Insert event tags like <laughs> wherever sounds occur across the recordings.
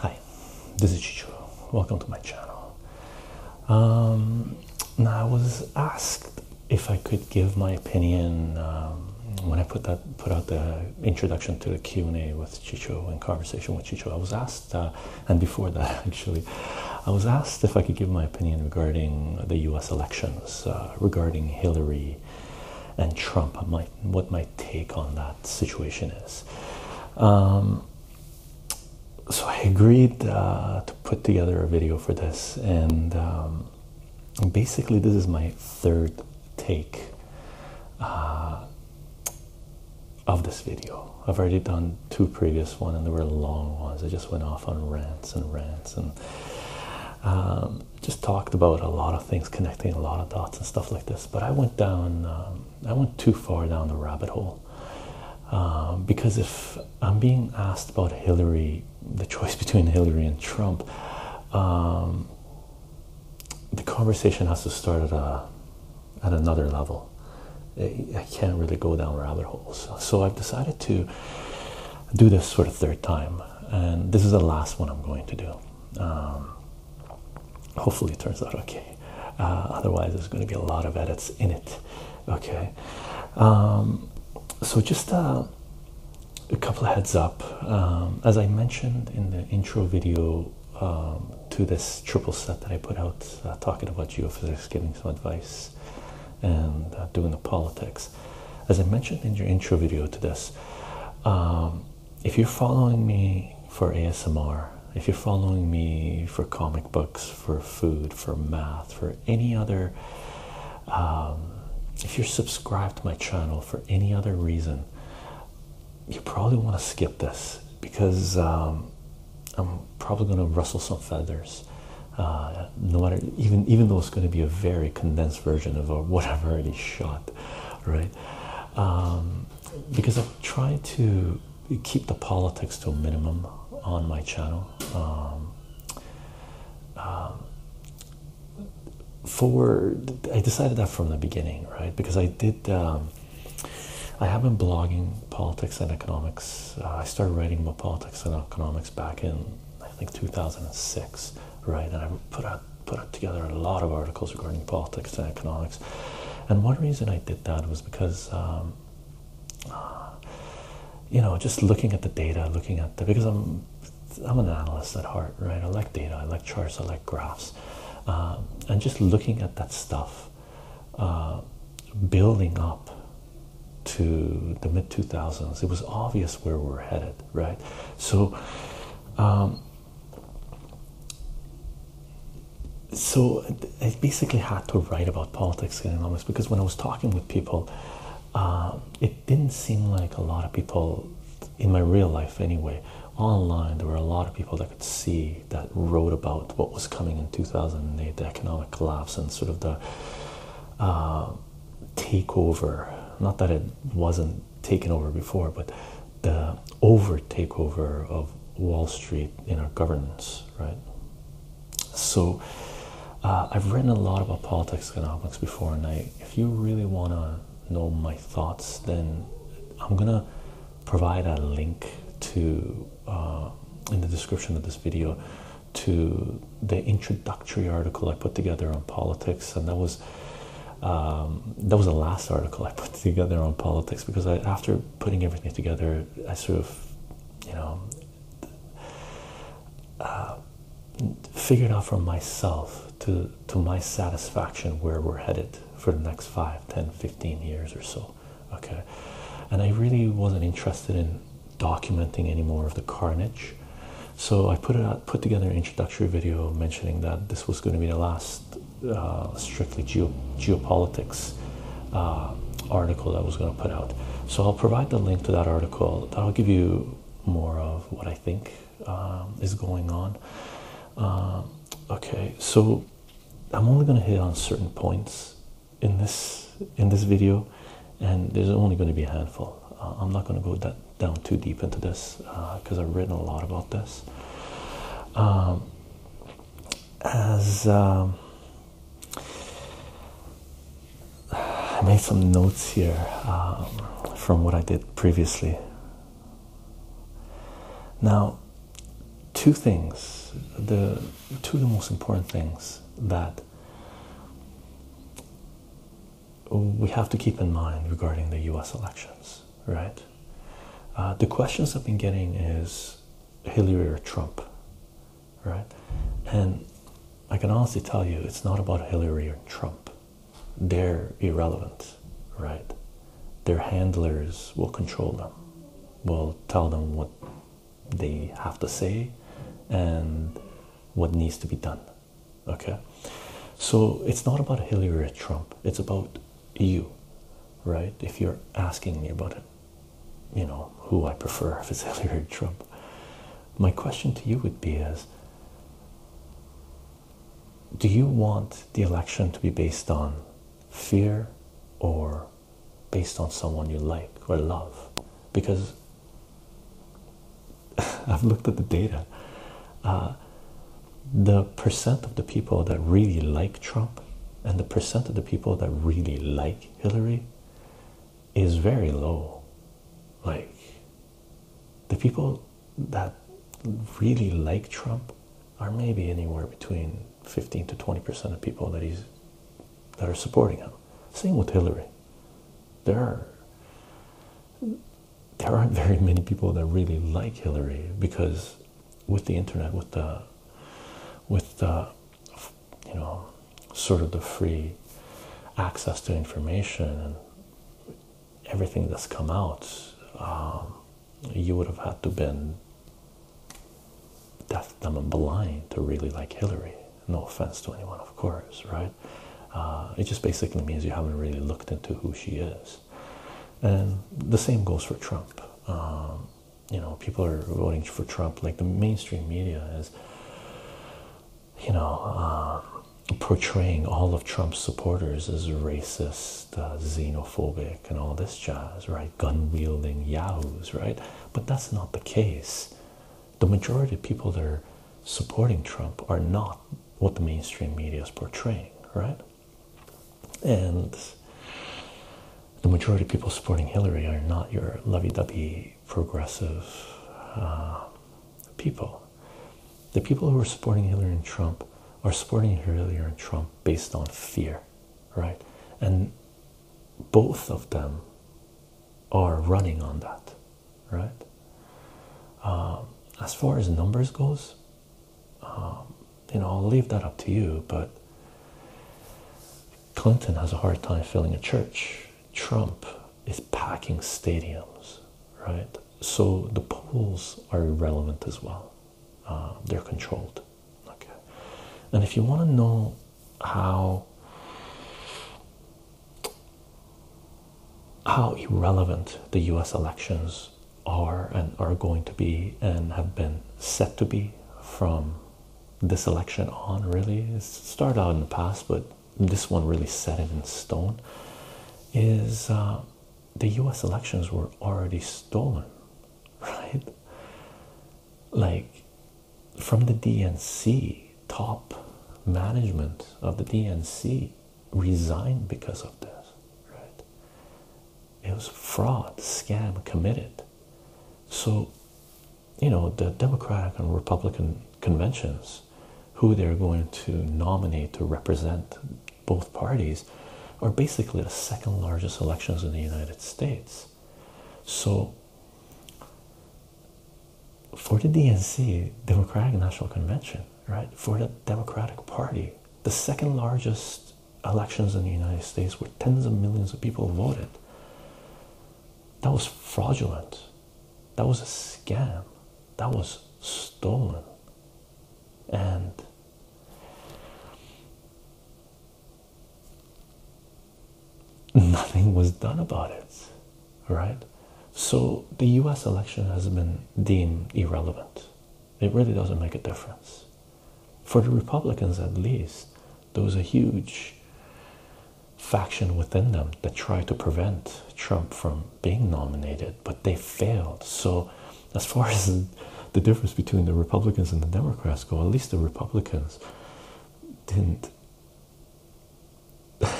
Hi, this is Chicho. Welcome to my channel. Um, now, I was asked if I could give my opinion um, when I put that put out the introduction to the Q and A with Chicho and conversation with Chicho. I was asked, uh, and before that <laughs> actually, I was asked if I could give my opinion regarding the U.S. elections, uh, regarding Hillary and Trump, what my take on that situation is. Um, so I agreed uh, to put together a video for this, and um, basically this is my third take uh, of this video. I've already done two previous ones, and they were long ones. I just went off on rants and rants and um, just talked about a lot of things, connecting a lot of dots and stuff like this. But I went down, um, I went too far down the rabbit hole um, because if I'm being asked about Hillary, the choice <laughs> between Hillary and Trump, the conversation has to start at a at another level I can't really go down rabbit holes. So I've decided to do this for the third time, and this is the last one I'm going to do. Um, hopefully, it turns out okay. Uh, otherwise, there's going to be a lot of edits in it. Okay. Um, so just uh, a couple of heads up. Um, as I mentioned in the intro video. to this triple set that I put out, uh, talking about geophysics, giving some advice and uh, doing the politics. As I mentioned in your intro video to this, um, if you're following me for ASMR, if you're following me for comic books, for food, for math, for any other, um, if you're subscribed to my channel for any other reason, you probably want to skip this because um, I'm probably going to rustle some feathers. Uh, no matter, even even though it's going to be a very condensed version of what I've already shot, right? Um, because I've tried to keep the politics to a minimum on my channel. Um, um, for I decided that from the beginning, right? Because I did. I have been blogging politics and economics uh, I started writing about politics and economics back in I think 2006, right? And I put put together a lot of articles regarding politics and economics. And one reason I did that was because. Um, uh, you know, just looking at the data, looking at the because I'm I'm an analyst at heart, right? I like data, I like charts, I like graphs, uh, and just looking at that stuff uh, building up to the mid 2000s. It was obvious where we we're headed, right? So, um, so I basically had to write about politics and economics because when I was talking with people, uh, it didn't seem like a lot of people in my real life anyway. Online, there were a lot of people that could see that wrote about what was coming in 2008, the economic collapse, and sort of the uh, takeover. Not that it wasn't taken over before, but the over takeover of Wall Street in our governance, right? So, uh, I've written a lot about politics and economics before, and I, if you really want to know my thoughts, then I'm gonna provide a link to uh, in the description of this video to the introductory article I put together on politics, and that was um, that was the last article I put <laughs> together on politics because after putting everything together, I sort of, you know, uh, figured out for myself to to my satisfaction where we're headed for the next five, ten, fifteen years or so okay and i really wasn't interested in documenting any more of the carnage so i put it put together an introductory video mentioning that this was going to be the last uh, strictly geo geopolitics uh, article that I was going to put out so i'll provide the link to that article that'll give you more of what i think um, is going on um, okay so i'm only going to hit on certain points in this in this video, and there's only going to be a handful. Uh, I'm not going to go that down too deep into this because uh, I've written a lot about this. Um, as um, I made some notes here um, from what I did previously. Now, two things: the two of the most important things that we have to keep in mind regarding the US elections, right? Uh, the questions I've been getting is Hillary or Trump, right? And I can honestly tell you it's not about Hillary or Trump. They're irrelevant, right? Their handlers will control them, will tell them what they have to say and what needs to be done. Okay, so it's not about Hillary or Trump, it's about you, right? If you're asking me about it, you know, who I prefer, if it's <laughs> Hillary or Trump, my question to you would be is do you want the election to be based on fear or based on someone you like or love because <laughs> I've looked at the data. Uh, the percent of the people that really like Trump and the percent of the people that really like Hillary is very low. Like, the people that really like Trump are maybe anywhere between 15 to 20 percent of people that he's that are supporting him. Same with Hillary. There are there aren't very many people that really like Hillary because with the internet, with the with the you know sort of the free access to information and everything that's come out, um, you would have had to been deaf, dumb, and blind to really like Hillary. No offense to anyone, of course, right? Uh, it just basically means you haven't really looked into who she is. And the same goes for Trump. Um, you know, people are voting for Trump. Like the mainstream media is, you know, uh, portraying all of Trump's supporters as racist, uh, xenophobic, and all this jazz, right? gun wielding yahoos, right? But that's not the case. The majority of people that are supporting Trump are not what the mainstream media is portraying, right? And the majority of people supporting Hillary are not your lovey dovey progressive uh, people. The people who are supporting Hillary and Trump are supporting Hillary and Trump based on fear, right? And both of them are running on that, right? Um, as far as numbers goes, um, you know, I'll leave that up to you, but Clinton has a hard time filling a church. Trump is packing stadiums, right? So the polls are irrelevant as well. Uh, they're controlled okay and if you want to know how how irrelevant the US elections are and are going to be and have been set to be from this election on really it started out in the past but this one really set it in stone is uh, the US elections were already stolen <laughs> right like from the DNC, top management of the DNC resigned because of this, right? It was fraud, scam committed. So, you know, the Democratic and Republican conventions, who they're going to nominate to represent both parties, are basically the second largest elections in the United States. So, for the DNC, Democratic National Convention, right, for the Democratic Party, the second largest elections in the United States where tens of millions of people voted, that was fraudulent. That was a scam. That was stolen. And nothing was done about it, right? So the US election has been deemed irrelevant. It really doesn't make a difference. For the Republicans, at least, there was a huge faction within them that tried to prevent Trump from being nominated, but they failed. So, as far <laughs> as the difference between the Republicans and the Democrats go, at least the Republicans didn't <laughs>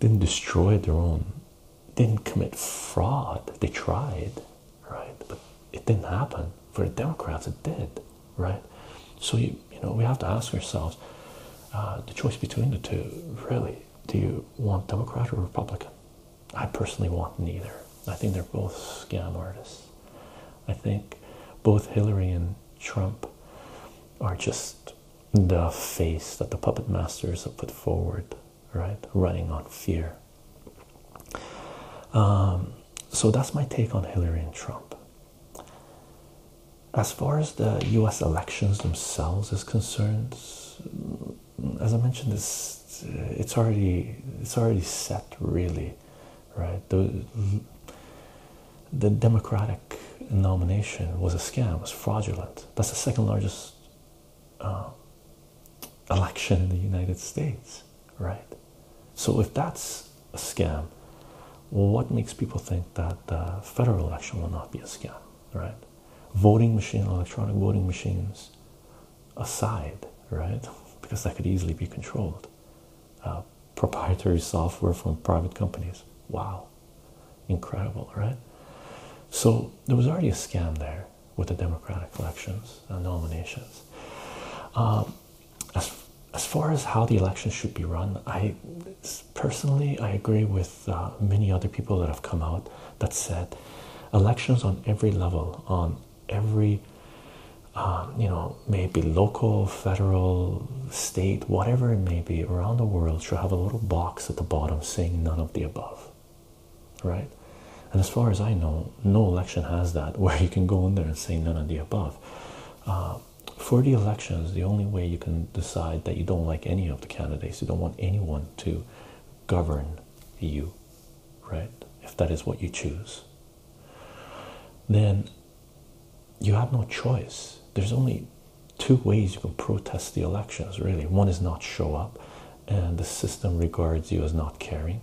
didn't destroy their own didn't commit fraud they tried right but it didn't happen for the democrats it did right so you you know we have to ask ourselves uh, the choice between the two really do you want democrat or republican i personally want neither I think they're both scam artists. I think both Hillary and Trump are just the face that the puppet masters have put forward, right? Running on fear. Um, so that's my take on Hillary and Trump. As far as the US elections themselves is concerned, as I mentioned, this it's already it's already set really right? The, Democratic nomination was a scam, was fraudulent. That's the second largest uh, election in the United States, right? So if that's a scam, what makes people think that the federal election will not be a scam, right? Voting machine, electronic voting machines aside, right? <laughs> Because that could easily be controlled. Uh, proprietary software from private companies. Wow, incredible, right? So there was already a scam there with the Democratic elections and nominations. Um, as as far as how the elections should be run, I personally I agree with uh, many other people that have come out that said elections on every level on every um, you know maybe local federal state whatever it may be around the world should have a little box at the bottom saying none of the above right and as far as i know no election has that <laughs> where you can go in there and say none of the above uh, for the elections the only way you can decide that you don't like any of the candidates you don't want anyone to govern you right if that is what you choose then you have no choice. There's only two ways you can protest the elections, really. One is not show up, and the system regards you as not caring.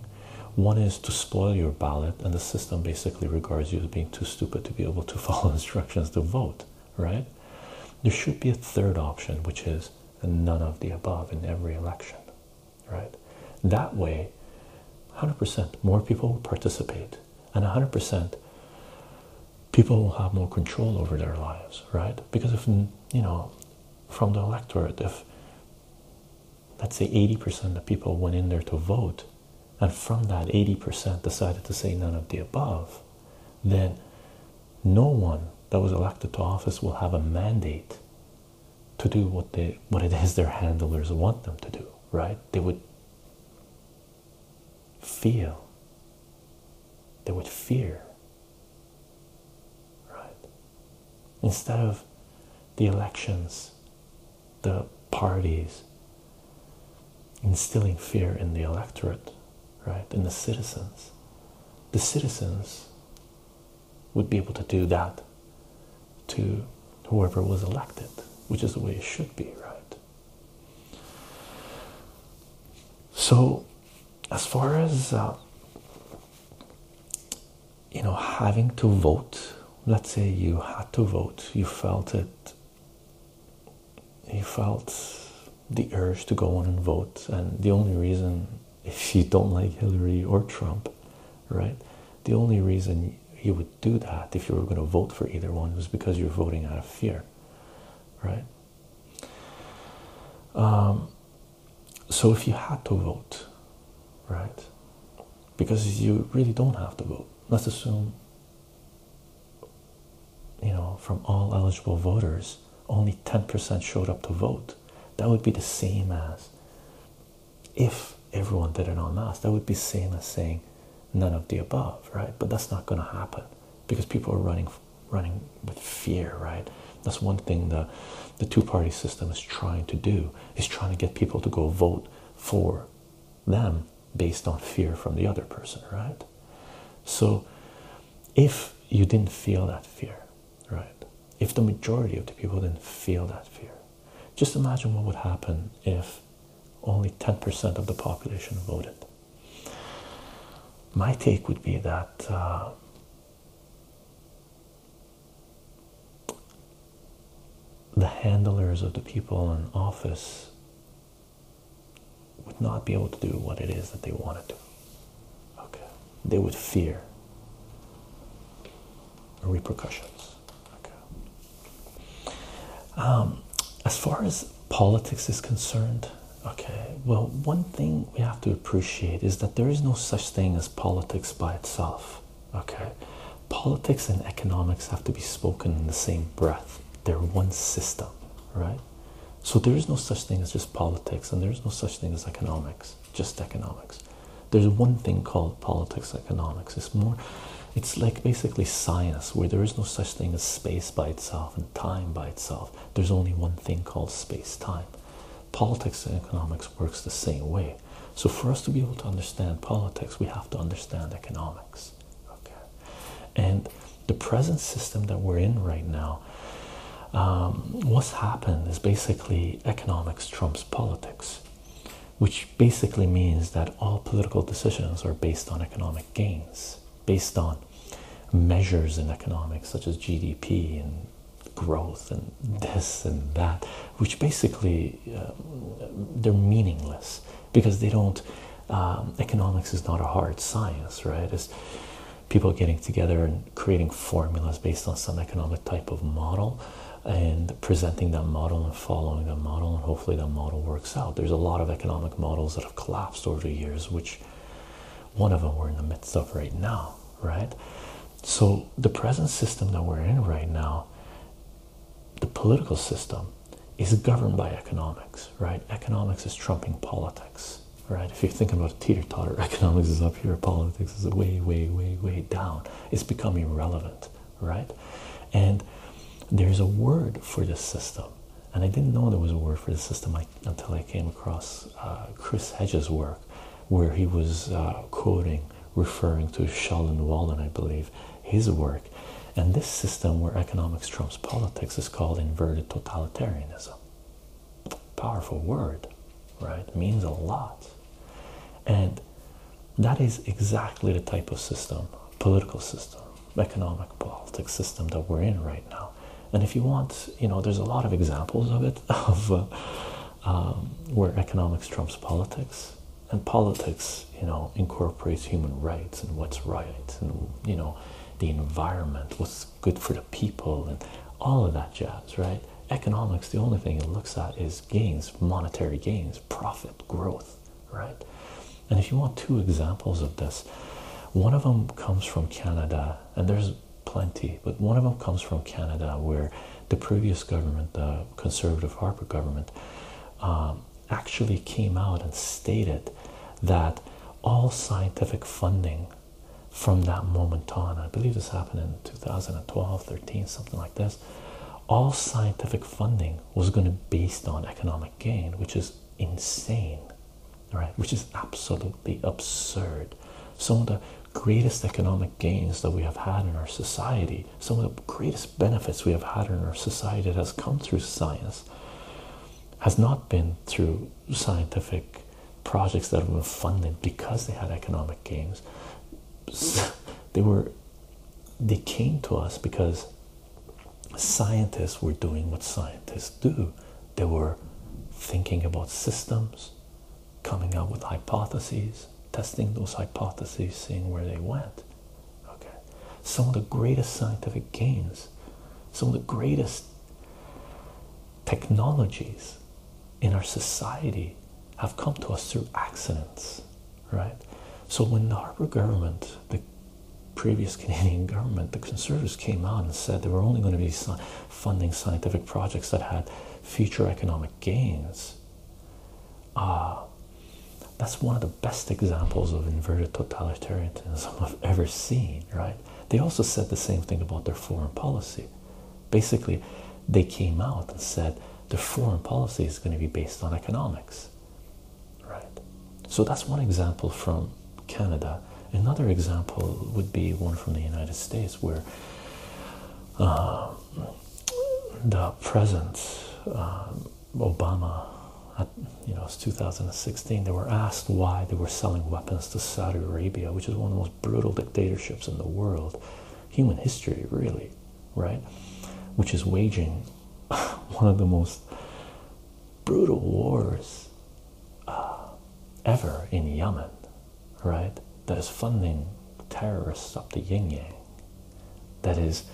One is to spoil your ballot, and the system basically regards you as being too stupid to be able to <laughs> follow instructions to vote, right? There should be a third option, which is none of the above in every election, right? That way, 100% more people will participate, and 100% people will have more control over their lives, right? Because if, you know, from the electorate, if let's say 80% of people went in there to vote, and from that 80% decided to say none of the above, then no one that was elected to office will have a mandate to do what they what it is their handlers want them to do right they would feel they would fear right instead of the elections the parties instilling fear in the electorate right in the citizens the citizens would be able to do that to whoever was elected, which is the way it should be, right? So, as far as uh, you know, having to vote, let's say you had to vote, you felt it, you felt the urge to go on and vote, and the only reason if you don't like Hillary or Trump right? The only reason you would do that if you were going to vote for either one was because you're voting out of fear, right? Um, so if you had to vote, right? Because you really don't have to vote. Let's assume, you know, from all eligible voters, only 10% showed up to vote. That would be the same as if everyone did it en masse that would be same as saying none of the above right but that's not going to happen because people are running running with fear right that's one thing the the two-party system is trying to do is trying to get people to go vote for them based on fear from the other person right so if you didn't feel that fear right? If the majority of the people didn't feel that fear, just imagine what would happen if only 10% of the population voted. My take would be that uh, the handlers of the people in office would not be able to do what it is that they wanted to Okay, they would fear repercussions. Okay. Um, as far as politics is concerned, okay, well, one thing we have to appreciate is that there is no such thing as politics by itself. Okay, politics and economics have to be spoken in the same breath. They're one system, right? So there is no such thing as just politics, and there is no such thing as economics just economics. There's one thing called politics economics. It's more, it's like basically science where there is no such thing as space by itself and time by itself. There's only one thing called space time. Politics and economics works the same way. So for us to be able to understand politics, we have to understand economics. Okay, and the present system that we're in right now, um, what's happened is basically economics trumps politics which basically means that all political decisions are based on economic gains, based on measures in economics such as GDP and growth and this and that, which basically uh, they're meaningless because they don't. Um, economics is not a hard science, right? It's people getting together and creating formulas based on some economic type of model and presenting that model and following that model, and hopefully that model works out. There's a lot of economic models that have collapsed over the years, which one of them we're in the midst of right now, right? So, the present system that we're in right now, the political system, is governed by economics, right? Economics is trumping politics, right? If you're thinking about teeter totter, <laughs> economics is up here, politics is way, way, way, way down it's becoming irrelevant, right? And there's a word for this system, and I didn't know there was a word for the system until I came across uh, Chris Hedges' work, where he was uh, quoting, referring to Sheldon Walden, I believe, his work. And this system where economics trumps politics is called inverted totalitarianism. Powerful word, right? Means a lot. And that is exactly the type of system, political system, economic politics system that we're in right now. And if you want, you know, there's a lot of examples of it, <laughs> of uh, um, where economics trumps politics, and politics, you know, incorporates human rights and what's right, and you know, the environment, what's good for the people, and all of that jazz, right? Economics, the only thing it looks at is gains, monetary gains, profit, growth, right? And if you want two examples of this, one of them comes from Canada, and there's plenty, but one of them comes from Canada where the previous government, the Conservative Harper government, um, actually came out and stated that all scientific funding from that moment on, I believe this happened in 2012, 13, something like this, all scientific funding was going to be based on economic gain, which is insane, right? Which is absolutely absurd. Some of the greatest economic gains that we have had in our society, some of the greatest benefits we have had in our society that has come through science, has not been through scientific projects that have been funded because they had economic gains <laughs> they were they came to us because scientists were doing what scientists do. They were thinking about systems, coming up with hypotheses, testing those hypotheses, seeing where they went. Okay. Some of the greatest scientific gains, some of the greatest technologies in our society have come to us through accidents, right? So when the Harper government, the previous Canadian <laughs> government, the Conservatives came out and said they were only going to be funding scientific projects that had future economic gains. Uh, that's one of the best examples of inverted totalitarianism <laughs> I've ever seen, right? They also said the same thing about their foreign policy. Basically, they came out and said their foreign policy is going to be based on economics. Right? So that's one example from Canada. Another example would be one from the United States where um, the president, um, Obama, at, you know, it's 2016, they were asked why they were selling weapons to Saudi Arabia, which is one of the most brutal dictatorships in the world human history, really, right? Which is waging <laughs> one of the most brutal wars uh, ever in Yemen, right? That is funding terrorists up the yin yang, that is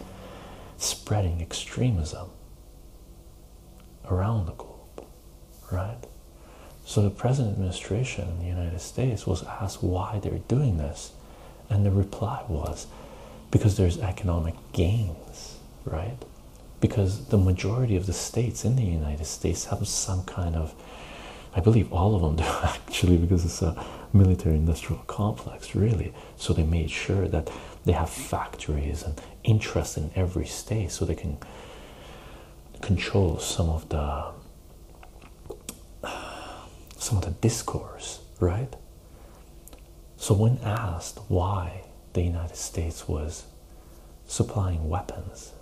spreading extremism around the globe, right? So the present administration in the United States was asked why they're doing this, and the reply was because there's economic gains, right? Because the majority of the states in the United States have some kind of, I believe all of them do <laughs> actually, because it's a military industrial complex, really. So they made sure that they have factories and interest in every state so they can control some of the <sighs> some of the discourse, right? So, when asked why the United States was supplying weapons,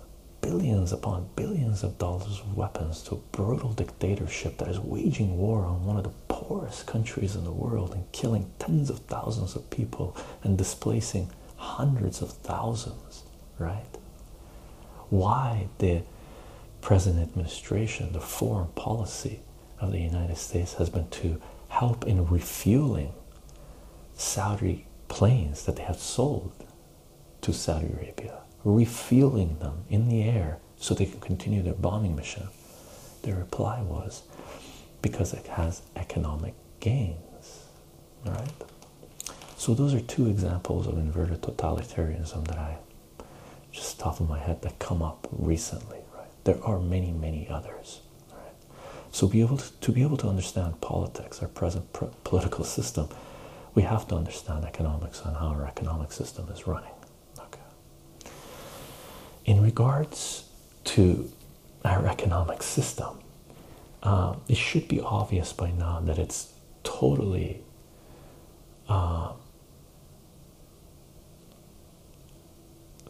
billions upon billions of dollars of weapons to a brutal dictatorship that is waging war on one of the poorest countries in the world and killing tens of thousands of people and displacing hundreds of thousands right? Why the president administration, the foreign policy of the United States has been to help in refueling Saudi planes that they have sold to Saudi Arabia, refueling them in the air so they can continue their bombing mission. The reply was because it has economic gains, right? So those are two examples of inverted totalitarianism that I just top of my head that come up recently, right? There are many, many others. Right? So to, be able to understand politics, our present political system, we have to understand economics and how our economic system is running. Okay. In regards to our economic system, um, it should be obvious by now that it's totally uh,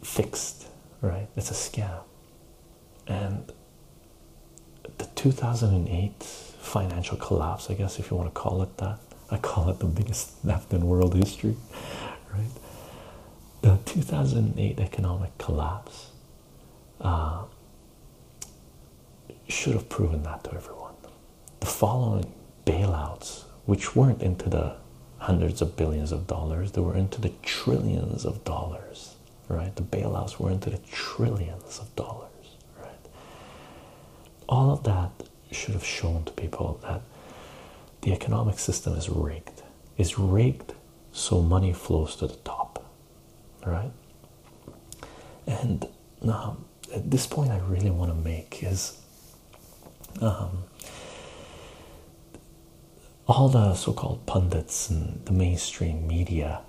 fixed, right? It's a scam. And the 2008 financial collapse, I guess, if you want to call it that, I call it the biggest theft in world history, <laughs> right? The 2008 economic collapse uh, should have proven that to everyone. The following bailouts, which weren't into the hundreds of billions of dollars, they were into the trillions of dollars, right? The bailouts were into the trillions of dollars, right? All of that should have shown to people that the economic system is rigged. It's rigged so money flows to the top, right? And um, at this point, I really want to make is um, all the so-called pundits and the mainstream media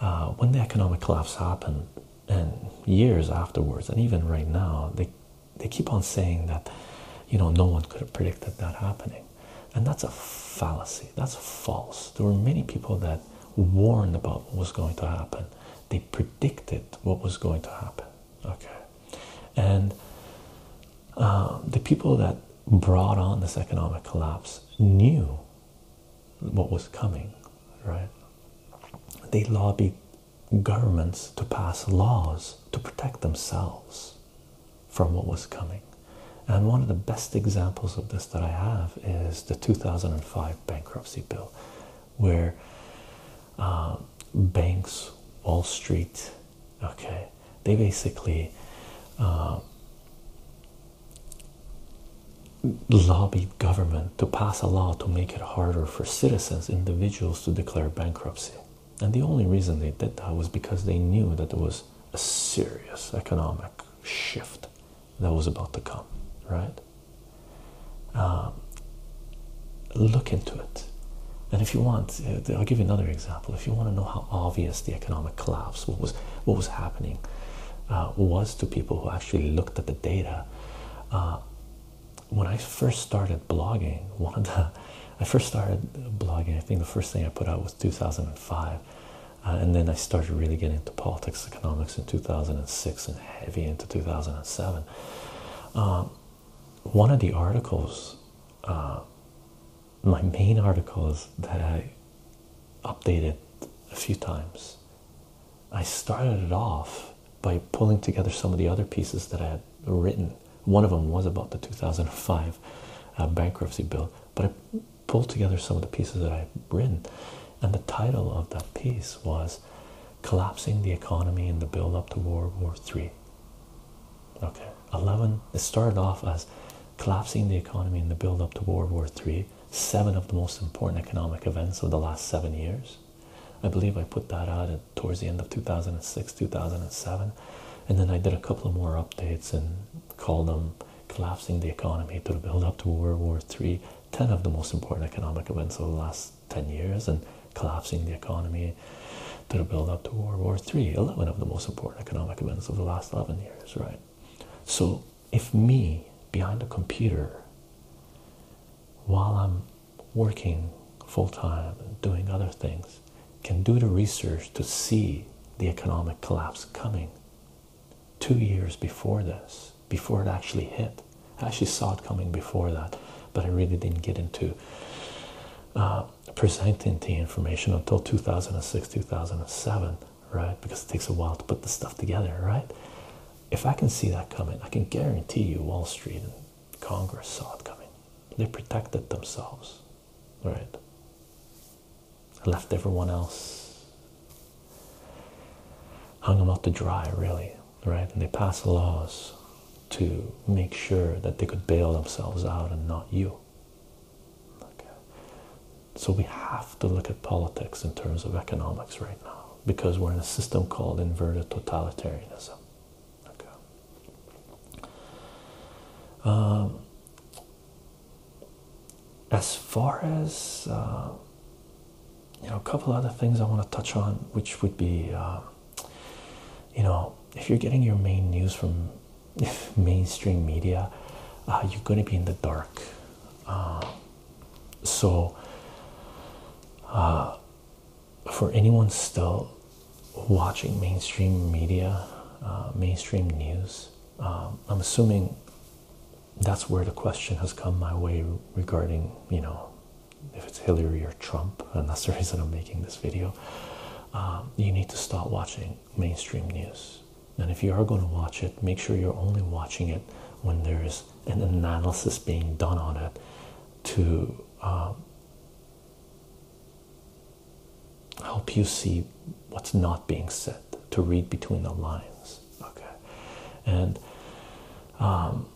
uh, when the economic collapse happened, and years afterwards, and even right now, they they keep on saying that you know no one could have predicted that happening, and that's a fallacy. That's false. There were many people that warned about what was going to happen. They predicted what was going to happen. Okay, and uh, the people that brought on this economic collapse knew what was coming, right? They lobbied governments to pass laws to protect themselves from what was coming. And one of the best examples of this that I have is the 2005 bankruptcy bill, where um, banks, Wall Street, okay, they basically um, lobbied government to pass a law to make it harder for citizens, individuals, to declare bankruptcy. And the only reason they did that was because they knew that there was a serious economic shift that was about to come, right? Um, look into it. And if you want, uh, I'll give you another example. If you want to know how obvious the economic collapse, what was what was happening, uh, was to people who actually looked at the data. Uh, when I first started blogging, <laughs> one I first started blogging. I think the first thing I put out was 2005. Uh, and then I started really getting into politics, economics in 2006, and heavy into 2007. Um, one of the articles, uh, my main articles that I updated a few times, I started it off by pulling together some of the other pieces that I had written. One of them was about the 2005 uh, bankruptcy bill, but Pulled together some of the pieces that I've written, and the title of that piece was Collapsing the Economy in the Build Up to World War III. Okay, 11, it started off as Collapsing the Economy in the Build Up to World War III, seven of the most important economic events of the last seven years. I believe I put that out towards the end of 2006, 2007, and then I did a couple of more updates and called them collapsing the economy to the build up to World War III 10 of the most important economic events of the last 10 years and collapsing the economy to the build up to World War Three. 11 of the most important economic events of the last 11 years, right? So, if me behind a computer while I'm working full time and doing other things can do the research to see the economic collapse coming two years before this, before it actually hit. I actually saw it coming before that, but I really didn't get into uh, presenting the information until 2006, 2007, right? Because it takes a while to put the stuff together, right? If I can see that coming, I can guarantee you Wall Street and Congress saw it coming. They protected themselves, right? left everyone else, hung them out to dry, really, right? And they passed laws to make sure that they could bail themselves out and not you. Okay. So we have to look at politics in terms of economics right now because we're in a system called inverted totalitarianism. Okay. Um, as far as uh, you know a couple other things i want to touch on which would be um, you know if you're getting your main news from <laughs> mainstream media uh, you're going to be in the dark uh, so for anyone still watching mainstream media mainstream news um, i'm assuming that's where the question has come my way regarding, you know, if it's Hillary or Trump, and that's the reason I'm making this video. Um, you need to stop watching mainstream news. And if you are going to watch it, make sure you're only watching it when there is an analysis being done on it to um, help you see what's not being said, to read between the lines okay and um,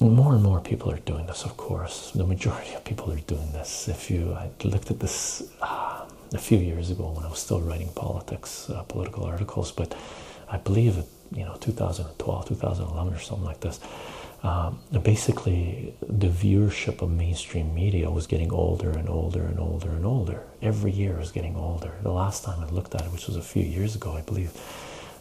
more and more people are doing this of course the majority of people are doing this if you i looked at this um, a few years ago when i was still writing politics uh, political articles but i believe it you know 2012 2011 or something like this um, basically the viewership of mainstream media was getting older and older and older and older every year I was getting older. The last time I looked at it, which was a few years ago, I believe,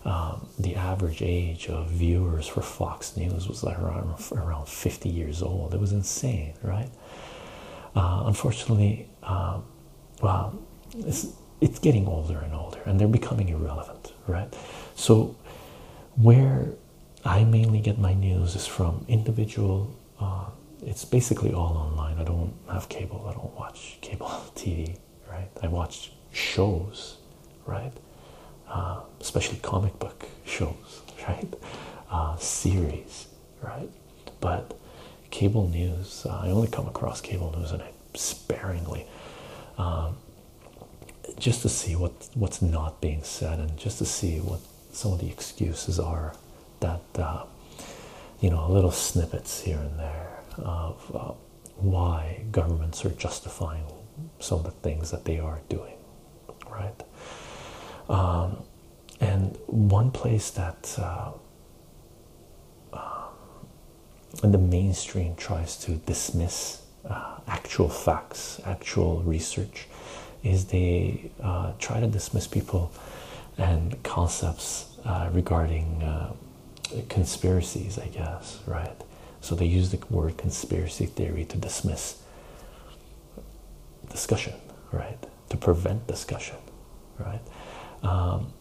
um, the average age of viewers for Fox News was like around around 50 years old. It was insane, right? Uh, unfortunately, um, well, it's it's getting older and older, and they're becoming irrelevant, right? So, where I mainly get my news is from individual uh, it's basically all online. I don't have cable. I don't watch cable <laughs> TV, right? I watch shows, right? Uh, especially comic book shows, <laughs> right? Uh, series, right? But cable news, I only come across cable news and I sparingly, um, just to see what what's not being said and just to see what some of the excuses are that uh, you know little snippets here and there of uh, why governments are justifying some of the things that they are doing, right? Um, and one place that uh, um, the mainstream tries to dismiss uh, actual facts, actual research, is they try to dismiss people and concepts uh, regarding uh, conspiracies, I guess, right? So they use the word conspiracy theory to dismiss discussion, right? To prevent discussion, right? Um,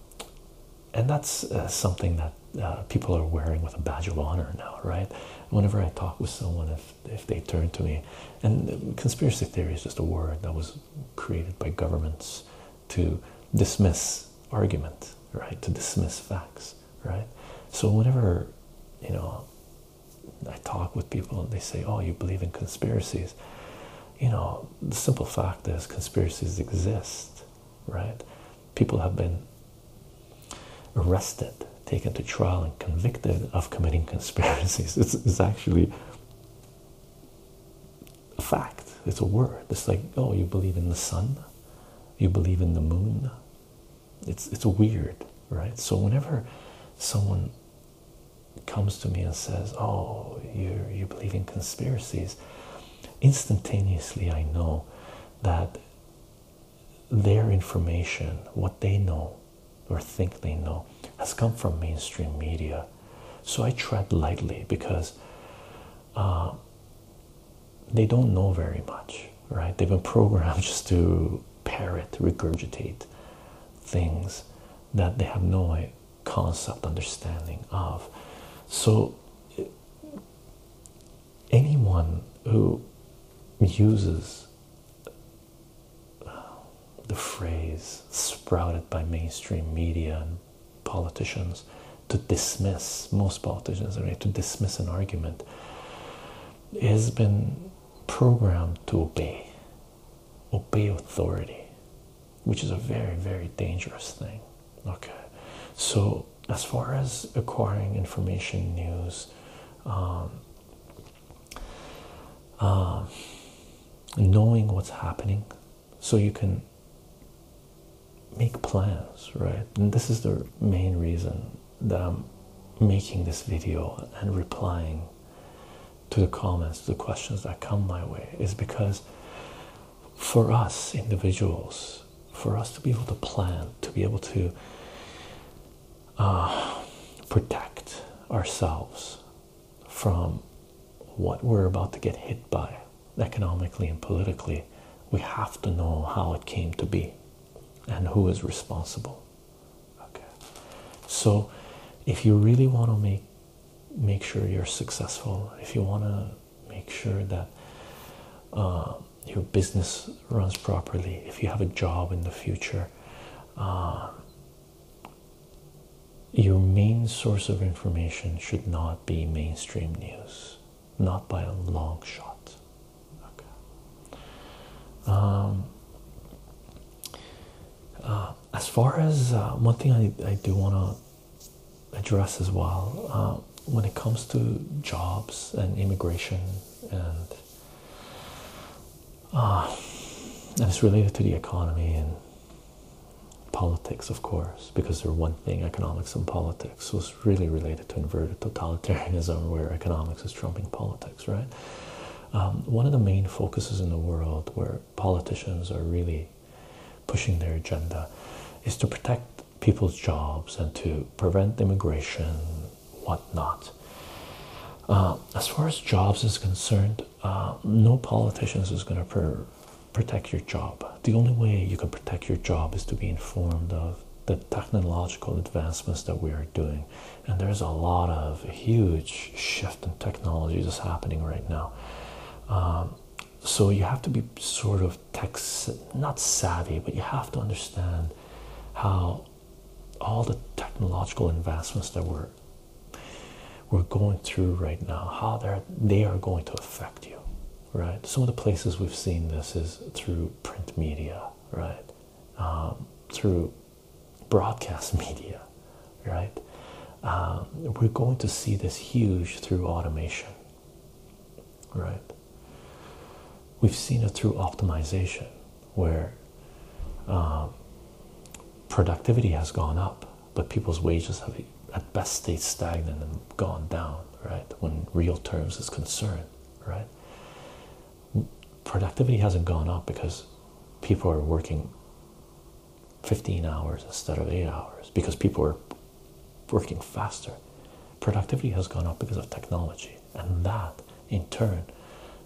and that's uh, something that people are wearing with a badge of honor now, right? Whenever I talk with someone, if if they turn to me, and conspiracy theory is just a word that was created by governments to dismiss argument, right? To dismiss facts, right? So whenever you know I talk with people and they say, "Oh, you believe in conspiracies," you know, the simple fact is conspiracies exist, right? People have been arrested, taken to trial, and convicted of committing conspiracies. <laughs> It's, it's actually a fact, it's a word. It's like, oh, you believe in the sun, you believe in the moon. It's it's weird, right? So whenever someone comes to me and says, Oh, you you believe in conspiracies, instantaneously I know that their information, what they know or think they know, has come from mainstream media so I tread lightly because uh, they don't know very much, right? They've been programmed <laughs> just to parrot, regurgitate things that they have no concept, understanding of. So anyone who uses the phrase sprouted by mainstream media and politicians to dismiss most politicians are to dismiss an argument has been programmed to obey obey authority which is a very very dangerous thing okay so as far as acquiring information news um, uh, knowing what's happening so you can make plans right and this is the main reason that i'm making this video and replying to the comments to the questions that come my way is because for us individuals for us to be able to plan to be able to uh, protect ourselves from what we're about to get hit by economically and politically, we have to know how it came to be and who is responsible. Okay, so if you really want to make make sure you're successful, if you want to make sure that uh, your business runs properly, if you have a job in the future, uh, your main source of information should not be mainstream news, not by a long shot. Okay. Um, uh, as far as uh, one thing I, do want to address as well, uh, when it comes to jobs and immigration, and, and it's related to the economy and Politics, of course, because they're one thing, economics and politics was really related to inverted totalitarianism, <laughs> where economics is trumping politics, right? Um, one of the main focuses in the world where politicians are really pushing their agenda is to protect people's jobs and to prevent immigration, whatnot. Uh, as far as jobs is concerned, uh, no politician is going to protect your job. The only way you can protect your job is to be informed of the technological advancements that we are doing. And there's a lot of huge shift in technology that's happening right now. Um, so you have to be sort of tech not savvy, but you have to understand how all the technological advancements that we we're going through right now, how they're going to affect you, right? Some of the places we've seen this is through print media, right? Um, through broadcast <laughs> media, right? Um, we're going to see this huge through automation, right? We've seen it through optimization, where um, productivity has gone up, but people's wages have at best stayed stagnant and gone down, right? When real terms is concerned, right? Productivity hasn't gone up because people are working 15 hours instead of 8 hours because people are working faster. Productivity has gone up because of technology, and that in turn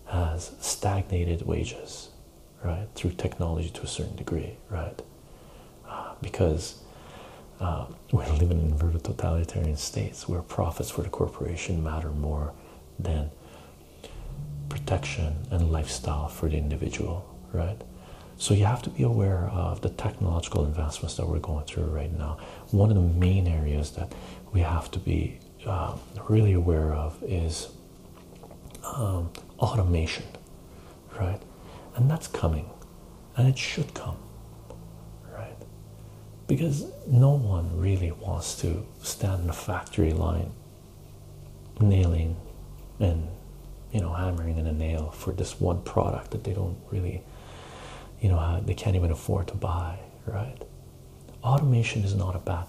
has stagnated wages right through technology to a certain degree right uh, because uh, we're living in inverted totalitarian states where profits for the corporation matter more than protection and lifestyle for the individual right so you have to be aware of the technological advancements that we're going through right now one of the main areas that we have to be um, really aware of is um, automation, right? And that's coming, and it should come, right? Because no one really wants to stand in a factory line nailing and you know hammering in a nail for this one product that they don't really you know they can't even afford to buy right automation is not a bad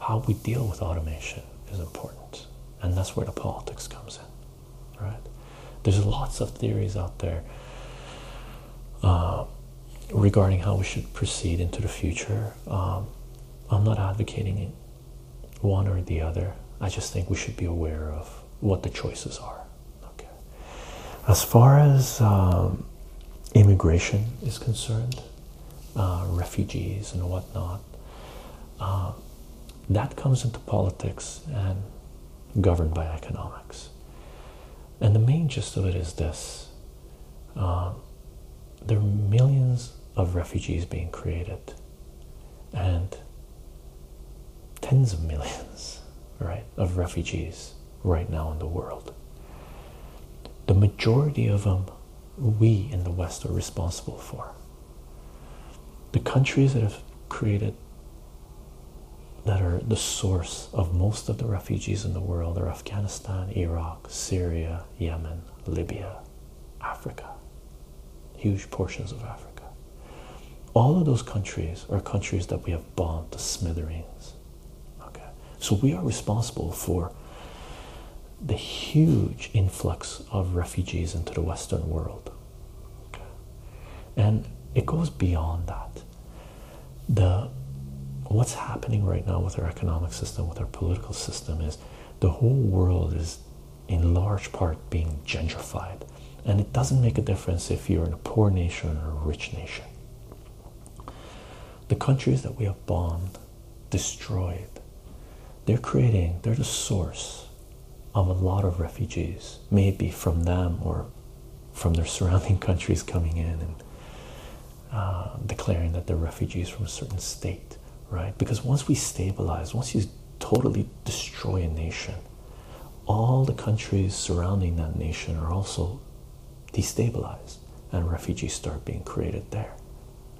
how we deal with automation is important, and that's where the politics comes in, right? There's lots of theories out there uh, regarding how we should proceed into the future. Um, I'm not advocating one or the other. I just think we should be aware of what the choices are. Okay. As far as um, immigration is concerned, uh, refugees and whatnot. Uh, that comes into politics and governed by economics. And the main gist of it is this uh, there are millions of refugees being created, and tens of millions, <laughs> right, of refugees right now in the world. The majority of them we in the West are responsible for. The countries that have created, that are the source of most of the refugees in the world, are Afghanistan, Iraq, Syria, Yemen, Libya, Africa, huge portions of Africa. All of those countries are countries that we have bombed to smithereens. Okay, so we are responsible for the huge influx of refugees into the Western world. And it goes beyond that. The what's happening right now with our economic system, with our political system, is the whole world is in large part being gentrified. And it doesn't make a difference if you're in a poor nation or a rich nation. The countries that we have bombed destroyed. They're creating, they're the source of a lot of refugees, maybe from them or from their surrounding <laughs> countries coming in and uh, declaring that they're refugees from a certain state, right? Because once we stabilize, once you totally destroy a nation, all the countries surrounding that nation are also destabilized and refugees start being created there,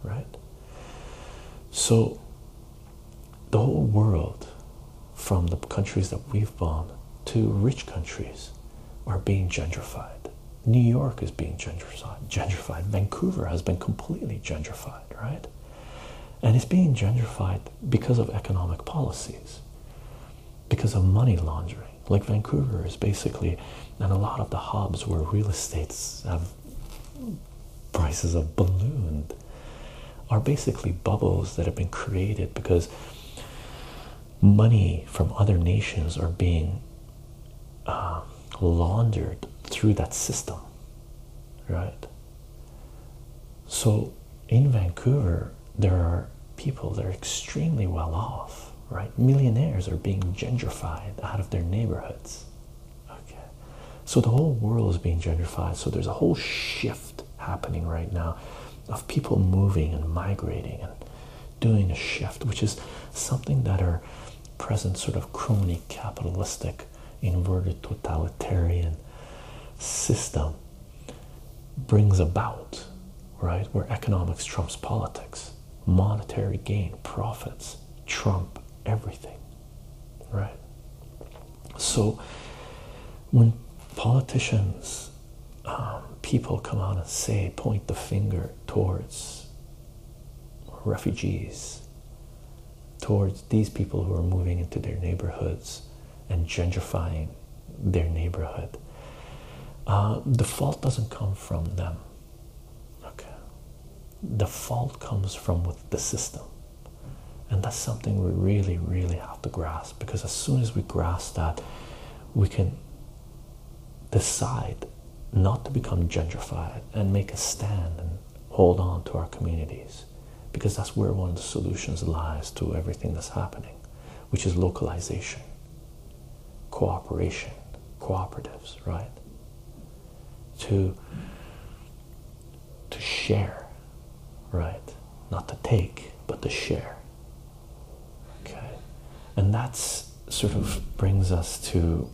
right? So the whole world, from the countries that we've bombed to rich countries, are being gentrified. New York is being gentrified. gentrified. Vancouver has been completely gentrified, right? And it's being gentrified because of economic policies, because of money laundering. Like Vancouver is basically and a lot of the hubs where real estates have prices have ballooned are basically bubbles that have been created because money from other nations are being uh, laundered through that system right so in vancouver there are people that are extremely well off right? Millionaires are being gentrified out of their neighborhoods. Okay, so the whole world is being gentrified. So there's a whole shift happening right now of people moving and migrating and doing a shift, which is something that our present sort of crony capitalistic inverted totalitarian system brings about, right? Where economics trumps politics monetary gain, profits, trump everything, right? So when politicians, um, people come out and say, point the finger towards refugees, towards these people who are moving into their neighborhoods and gentrifying their neighborhood. Uh, the fault doesn't come from them okay the fault comes from with the system and that's something we really really have to grasp because as soon as we grasp that we can decide not to become gentrified and make a stand and hold on to our communities because that's where one of the solutions lies to everything that's happening which is localization cooperation, cooperatives, right? To to share, right? Not to take, but to share. Okay, and that sort of brings us to,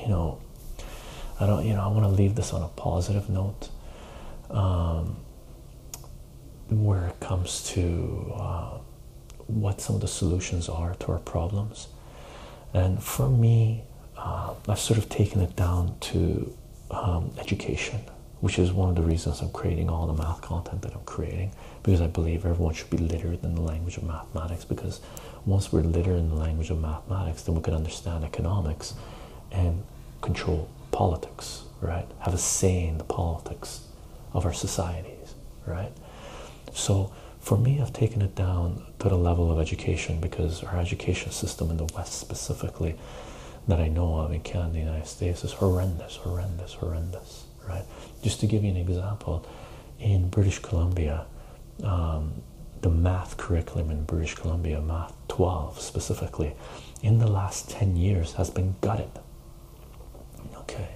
you know, I don't, you know, I want to leave this on a positive note. Um, where it comes to uh, what some of the solutions are to our problems. And for me, uh, I've sort of taken it down to um, education, which is one of the reasons I'm creating all the math content that I'm creating because I believe everyone should be literate in the language of mathematics. Because once we're literate in the language of mathematics, then we can understand economics and control politics, right? Have a say in the politics of our societies, right? So for me, I've taken it down to the level of education because our education system in the West specifically that I know of in Canada, the United States is horrendous, horrendous, horrendous, right? Just to give you an example, in British Columbia, um, the math curriculum in British Columbia, math 12 specifically, in the last 10 years has been gutted. Okay,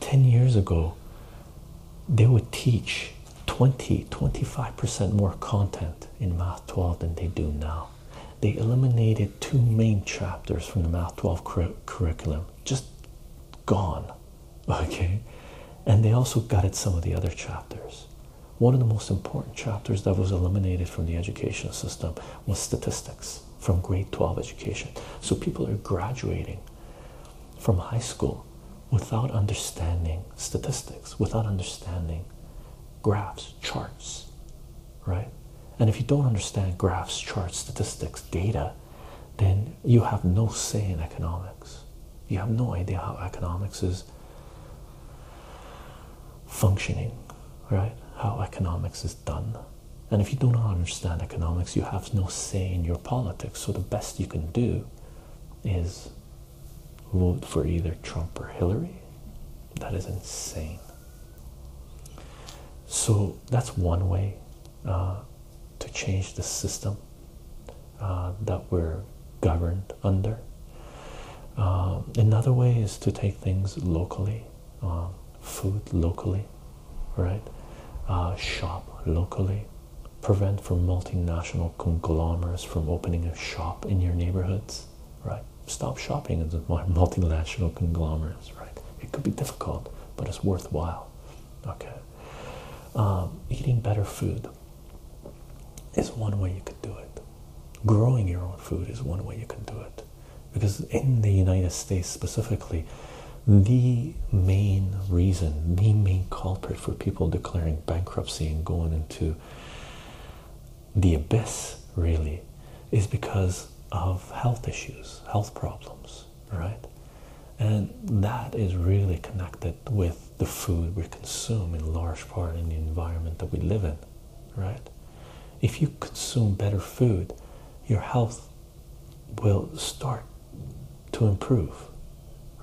10 years ago, they would teach 20 25% more content in Math 12 than they do now. They eliminated two main chapters from the Math 12 curriculum, just gone. <laughs> Okay, and they also gutted some of the other chapters. One of the most important chapters that was eliminated from the education system was statistics from grade 12 education. So people are graduating from high school without understanding statistics, without understanding graphs, charts, right? And if you don't understand graphs, charts, statistics, data, then you have no say in economics. You have no idea how economics is functioning, right? How economics is done. And if you do not understand economics, you have no say in your politics. So the best you can do is vote for either Trump or Hillary. That is insane. So that's one way uh, to change the system uh, that we're governed under. Uh, another way is to take things locally, food locally, right? Uh, shop locally, prevent from multinational conglomerates from opening a shop in your neighborhoods, right? Stop shopping at the <laughs> multinational conglomerates, right? It could be difficult, but it's worthwhile, okay? Um, eating better food is one way you can do it. Growing your own food is one way you can do it. Because in the United States specifically, the main reason, the main culprit for people declaring bankruptcy and going into the abyss really is because of health issues, health problems, right? And that is really connected with the food we consume in large part in the environment that we live in, right? If you consume better food, your health will start to improve,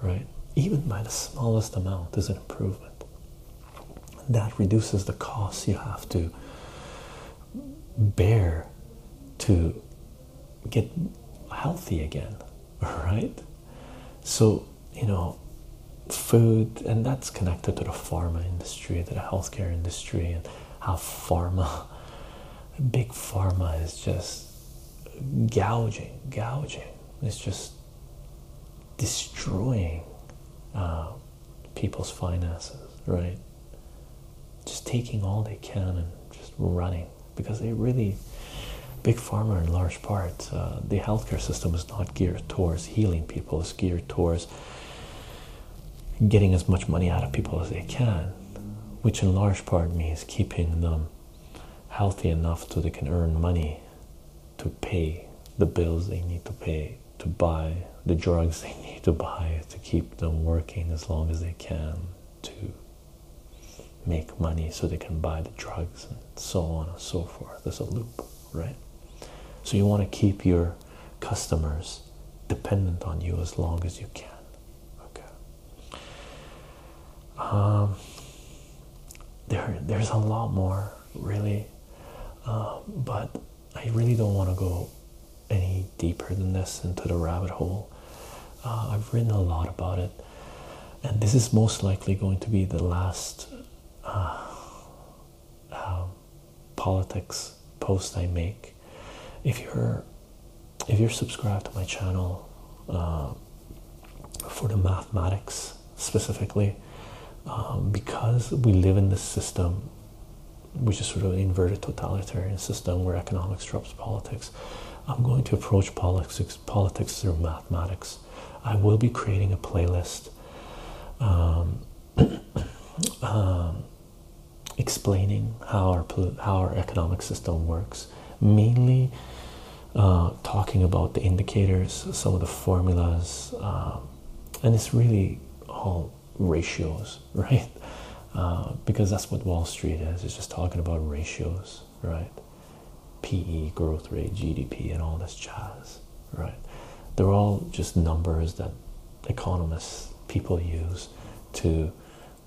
right? Even by the smallest amount is an improvement. That reduces the costs you have to bear to get healthy again, <laughs> right? So, you know, food, and that's connected to the pharma industry, to the healthcare industry, and how pharma <laughs> big pharma is just gouging, gouging. It's just destroying uh, people's finances, right? Just taking all they can and just running because they really, big pharma in large part, uh, the healthcare system is not geared towards healing people. It's geared towards getting as much money out of people as they can, which in large part means keeping them healthy enough so they can earn money to pay the bills they need to pay, to buy the drugs <laughs> they need to buy, to keep them working as long as they can, to make money so they can buy the drugs and so on and so forth. There's a loop, right? So you want to keep your customers dependent on you as long as you can okay um, there there's a lot more really um, but I really don't want to go any deeper than this into the rabbit hole uh, I've written a lot about it and this is most likely going to be the last uh, um, politics post I make. If you're if you're subscribed to my channel uh, for the mathematics specifically, um, because we live in this system, which is sort of an inverted totalitarian system where economics drops politics, I'm going to approach politics politics through mathematics. I will be creating a playlist. Um, <coughs> um, explaining how our how our economic system works, mainly uh, talking about the indicators, some of the formulas, um, and it's really all ratios, <laughs> right? Uh, because that's what Wall Street is. It's just talking about ratios, right? PE, growth rate, GDP, and all this jazz, right? They're all just numbers that economists people use to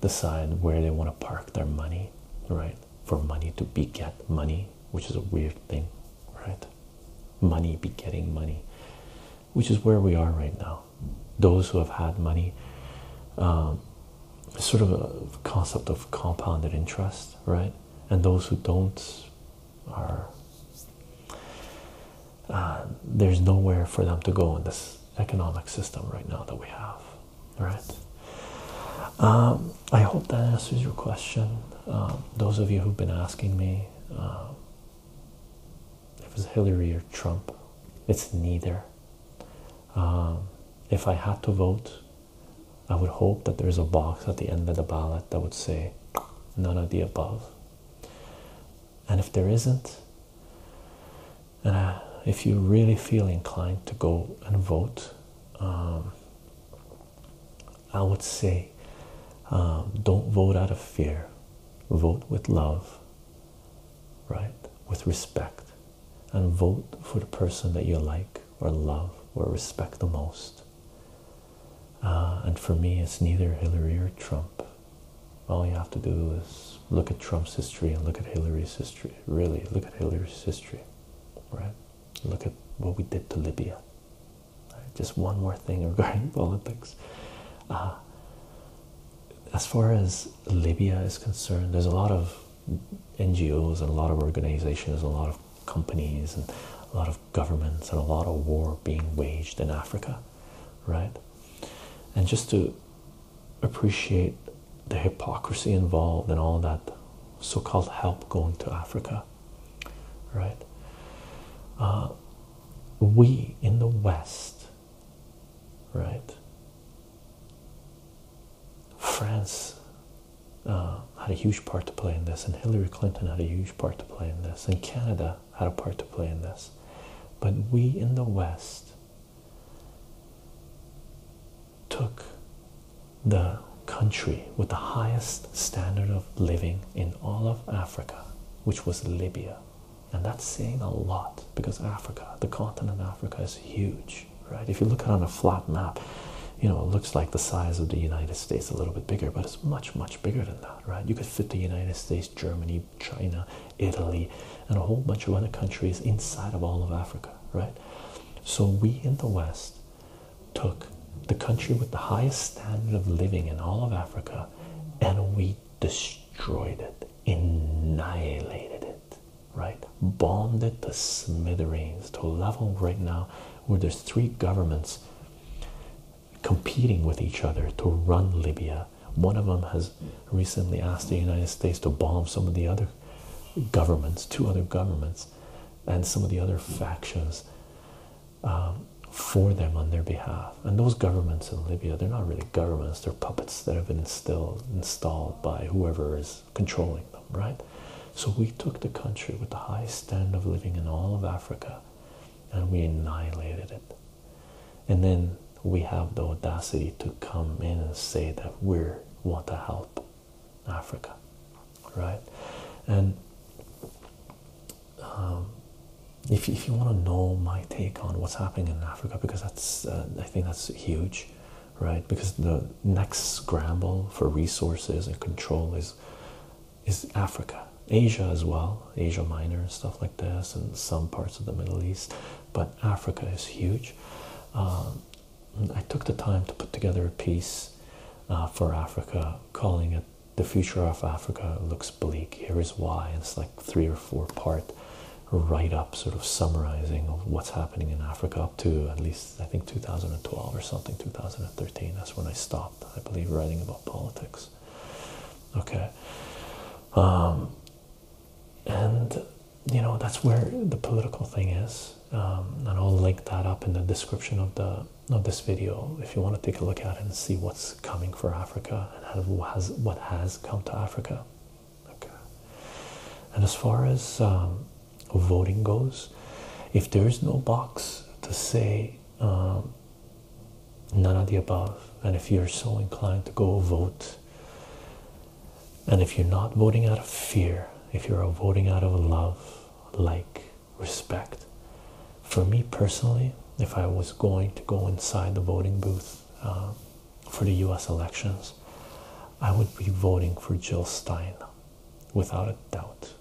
decide where they want to park their money, right? For money to beget money, which is a weird thing, right? Money begetting money, which is where we are right now. Those who have had money, um, sort of a concept of compounded interest, right? And those who don't are uh, there's nowhere for them to go in this economic system right now that we have, right? Um, I hope that answers your question. Um, those of you who've been asking me uh, if it's Hillary or Trump, it's neither. Um, if I had to vote, I would hope that there's a box at the end of the ballot that would say none of the above. And if there isn't, and if you really feel inclined to go and vote, um, I would say um, don't vote out of fear, vote with love, right? With respect, and vote for the person that you like or love or respect the most. Uh, and for me, it's neither Hillary or Trump. All you have to do is look at Trump's history and look at Hillary's history. Really, look at Hillary's history, right? Look at what we did to Libya. Just one more thing <laughs> regarding politics. Uh, as far as Libya is concerned, there's a lot of NGOs and a lot of organizations, a lot of companies, and a lot of governments, and a lot of war being waged in Africa, right? and just to appreciate the hypocrisy involved in all that so-called help going to Africa, right? Uh, we in the West, right? France uh, had a huge part to play in this, and Hillary Clinton had a huge part to play in this, and Canada had a part to play in this. But we in the West took the country with the highest standard of living in all of Africa, which was Libya. And that's saying a lot because Africa, the continent Africa, is huge, right? If you look at it on a flat map, you know, it looks like the size of the United States, a little bit bigger, but it's much, much bigger than that, right? You could fit the United States, Germany, China, Italy, and a whole bunch of other countries inside of all of Africa, right? So we in the West took the country with the highest standard of living in all of Africa and we destroyed it, annihilated it, right? Bombed it to smithereens to a level right now where there's three governments competing with each other to run Libya one of them has recently asked the United States to bomb some of the other governments, two other governments, and some of the other factions um, for them on their behalf. And those governments in Libya, they're not really governments, they're puppets that have been instilled, installed by whoever is controlling them, right? So we took the country with the highest standard of living in all of Africa and we annihilated it and then we have the audacity to come in and say that we want to help Africa, right? And um, if you want to know my take on what's happening in Africa, because that's uh, I think that's huge, right? Because the next scramble for resources and control is is Africa, Asia as well, Asia Minor and stuff like this, and some parts of the Middle East, but Africa is huge. Um, I took the time to put together a piece uh, for Africa, calling it "The Future of Africa Looks Bleak." Here is why. It's like three or four part write up, sort of summarizing of what's happening in Africa up to at least I think 2012 or something, 2013. That's when I stopped, I believe, writing about politics. Okay. Um, and you know that's where the political thing is um, and I'll link that up in the description of the of this video if you want to take a look at it and see what's coming for Africa and what has what has come to Africa okay and as far as um, voting goes if there's no box to say um, none of the above. And if you're so inclined to go vote, and if you're not voting out of fear, if you're voting out of love, like, respect, for me personally, if I was going to go inside the voting booth uh, for the US elections, I would be voting for Jill Stein without a doubt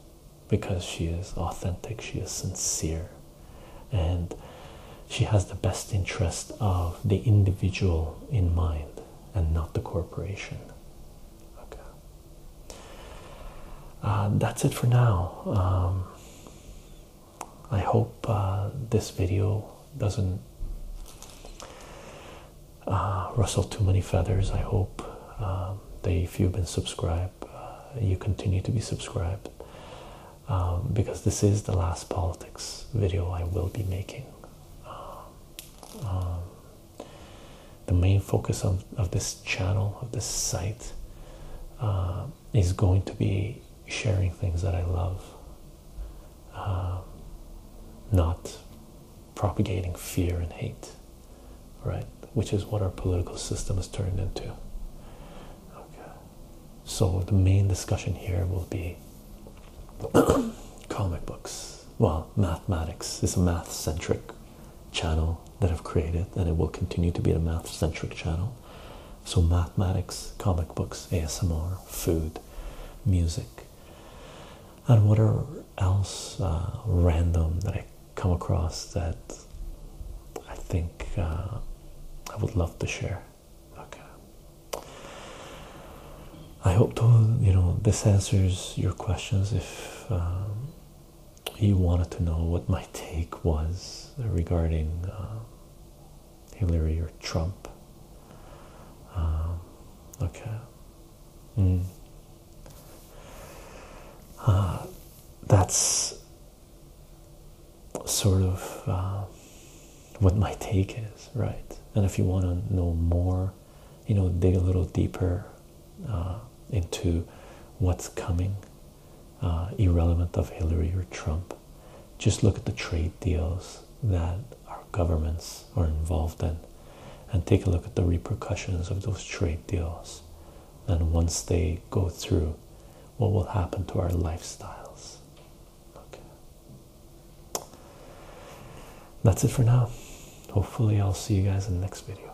because she is authentic, she is sincere, and she has the best interest of the individual in mind and not the corporation. Okay. Uh, that's it for now. Um, I hope uh, this video doesn't uh, rustle too many feathers. I hope um, that if you've been subscribed, you continue to be subscribed. Um, because this is the last politics video I will be making. Um, um, the main focus of, of this channel, of this site, uh, is going to be sharing things that I love, not propagating fear and hate, right? Which is what our political system has turned into. Okay. So the main discussion here will be <coughs> comic books. Well, mathematics is a math-centric channel that I've created, and it will continue to be a math-centric channel. So mathematics, comic books, ASMR, food, music, and whatever else uh, random that I come across that I think uh, I would love to share. Okay. I hope to you know this answers your questions. If um, you wanted to know what my take was regarding um, Hillary or Trump, um, okay. Hmm. Uh, that's sort of uh, what my take is, right? And if you want to know more, you know, dig a little deeper uh, into what's coming, uh, irrelevant of Hillary or Trump. Just look at the trade deals that our governments are involved in and take a look at the repercussions of those trade deals. And once they go through, what will happen to our lifestyles? Okay. That's it for now. Hopefully, I'll see you guys in the next video.